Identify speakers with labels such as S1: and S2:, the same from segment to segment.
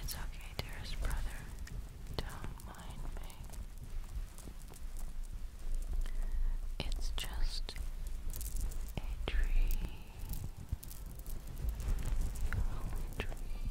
S1: It's okay, dearest brother. Don't mind me. It's just a dream. you only dreaming.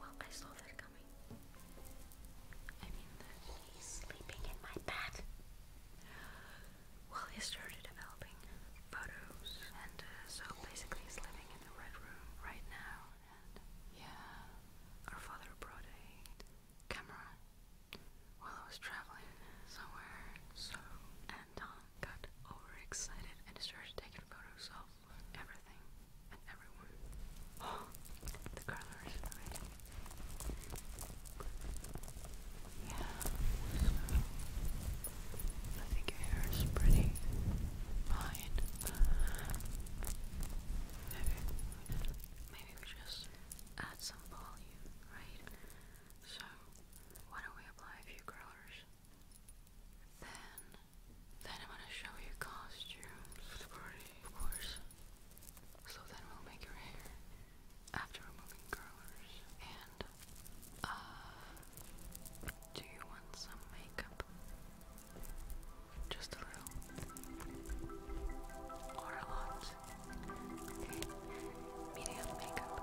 S1: Well, I saw that coming. I mean, he's sleeping in my bed. Well, he started developing photos, and uh, so basically he's living in the red room right now. And yeah, our father brought a camera while I was traveling somewhere. So, and uh, got overexcited and started taking photos of everything and everyone. Oh, the colors, Yeah, so I think your hair is pretty fine. Maybe, maybe we just add some volume, right? So, why don't we apply a few curlers then, then I'm gonna show you costumes of course. So then we'll make your hair after removing curlers. And, uh, do you want some makeup? Just a little. Or a lot. medium makeup.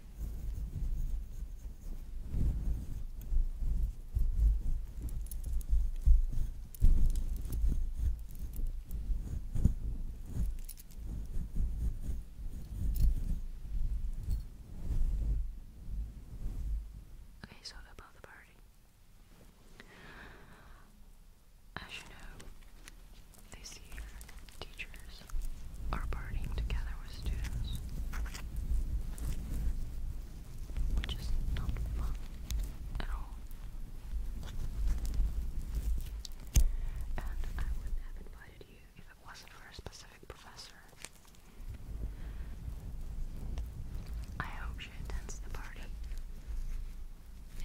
S1: Okay, so about the party. As you know, this year Teachers are partying together with students, which is not fun at all. And I wouldn't have invited you if it wasn't for a specific professor. I hope she attends the party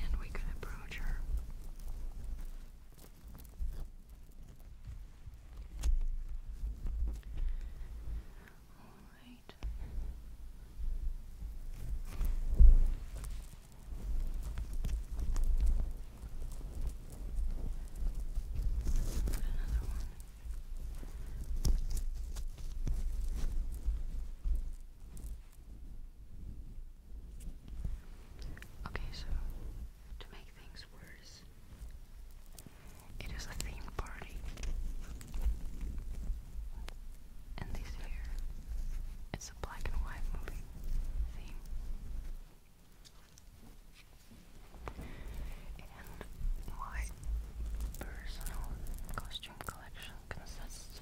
S1: and we can approach her. All right. Another Okay, so to make things worse, it is a theme party. And this here, it's a black and white movie theme. And my personal costume collection consists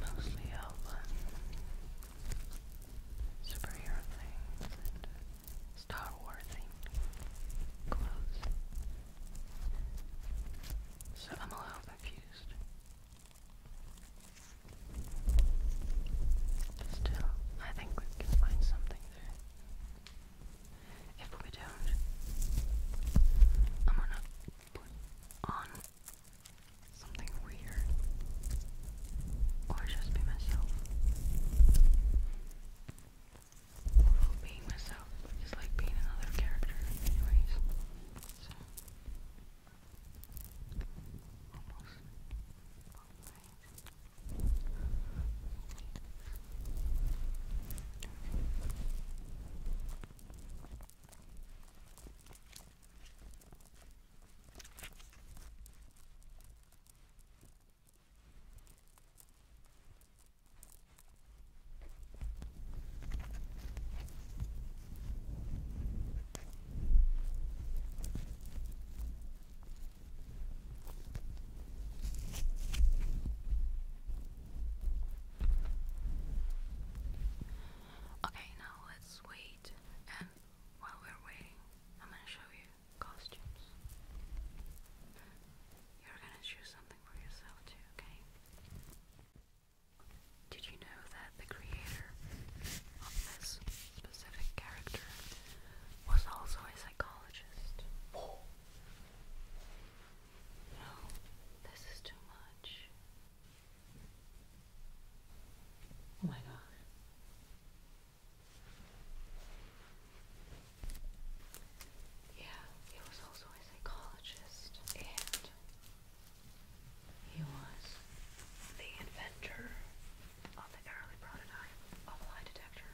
S1: mostly of um, superhero things Star Warsy clothes. So I'm a little confused. Still, I think we can find something there. If we don't, I'm gonna put on something weird. Or just be myself. Although being myself is like being another character anyways. So almost Okay. Okay, now let's wait, and while we're waiting, I'm gonna show you costumes. You're gonna choose something for yourself too, okay? Did you know that the creator of this specific character was also a psychologist? No, this is too much. Oh my god. Yeah, he was also a psychologist and he was the inventor of the early prototype of a lie detector.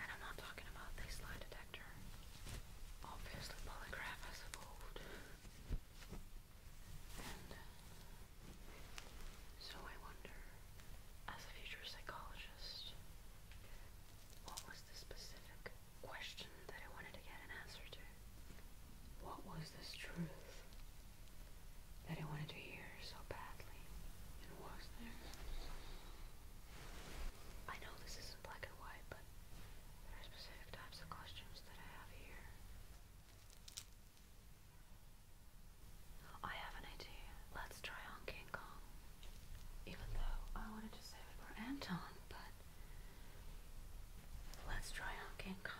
S1: And I'm not talking about this lie detector. Obviously, polygraph evolved so I wonder, as a future psychologist, what was the specific question that I wanted to get an answer to? What was this truth that I wanted to hear so badly? And was there? I know this isn't black and white, but there are specific types of costumes that I have here. I have an idea. Let's try on King Kong. Even though I wanted to save it for Anton, but let's try on King Kong.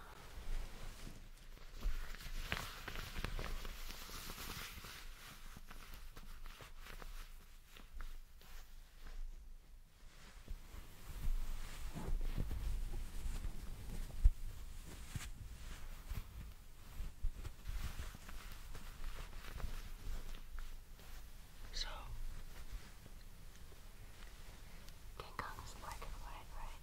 S1: So, King Kong is black and white, right?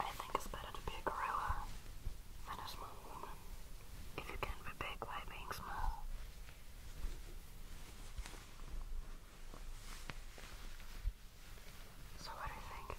S1: I think it's better to be a gorilla than a small woman if you can be big by being small. So, what do you think?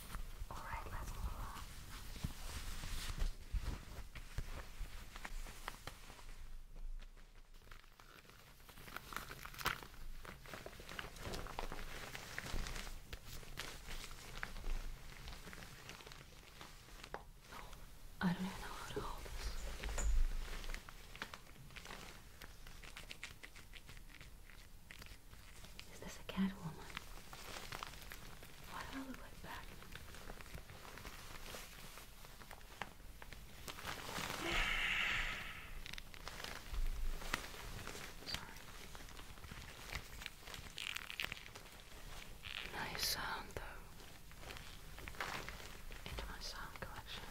S1: Alright, let's move on. I don't even know how to hold this. Is this a Catwoman? Why do I look like Batman? Sorry. Nice sound though. Into my sound collection.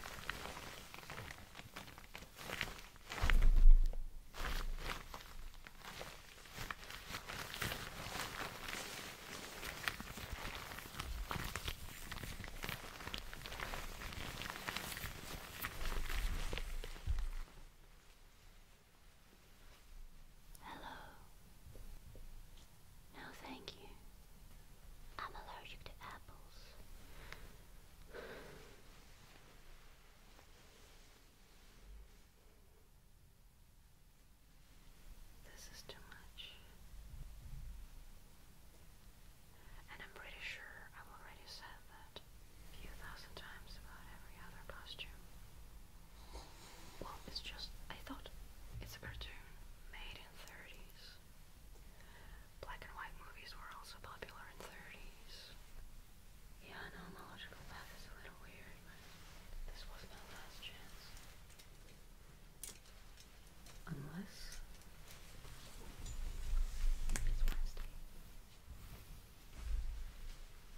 S1: Hello. No, thank you. I'm allergic to apples. This is too much. And I'm pretty sure I've already said that a few thousand times about every other costume. Well, it's just, I thought it's a cartoon made in 30s. Black and white movies were also popular in 30s. Yeah, I know my logical path is a little weird, but this was my last chance. Unless it's Wednesday.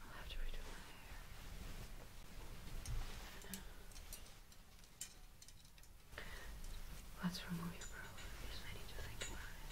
S1: I'll have to redo my hair. not know. Let's remove your problem I need to think about it.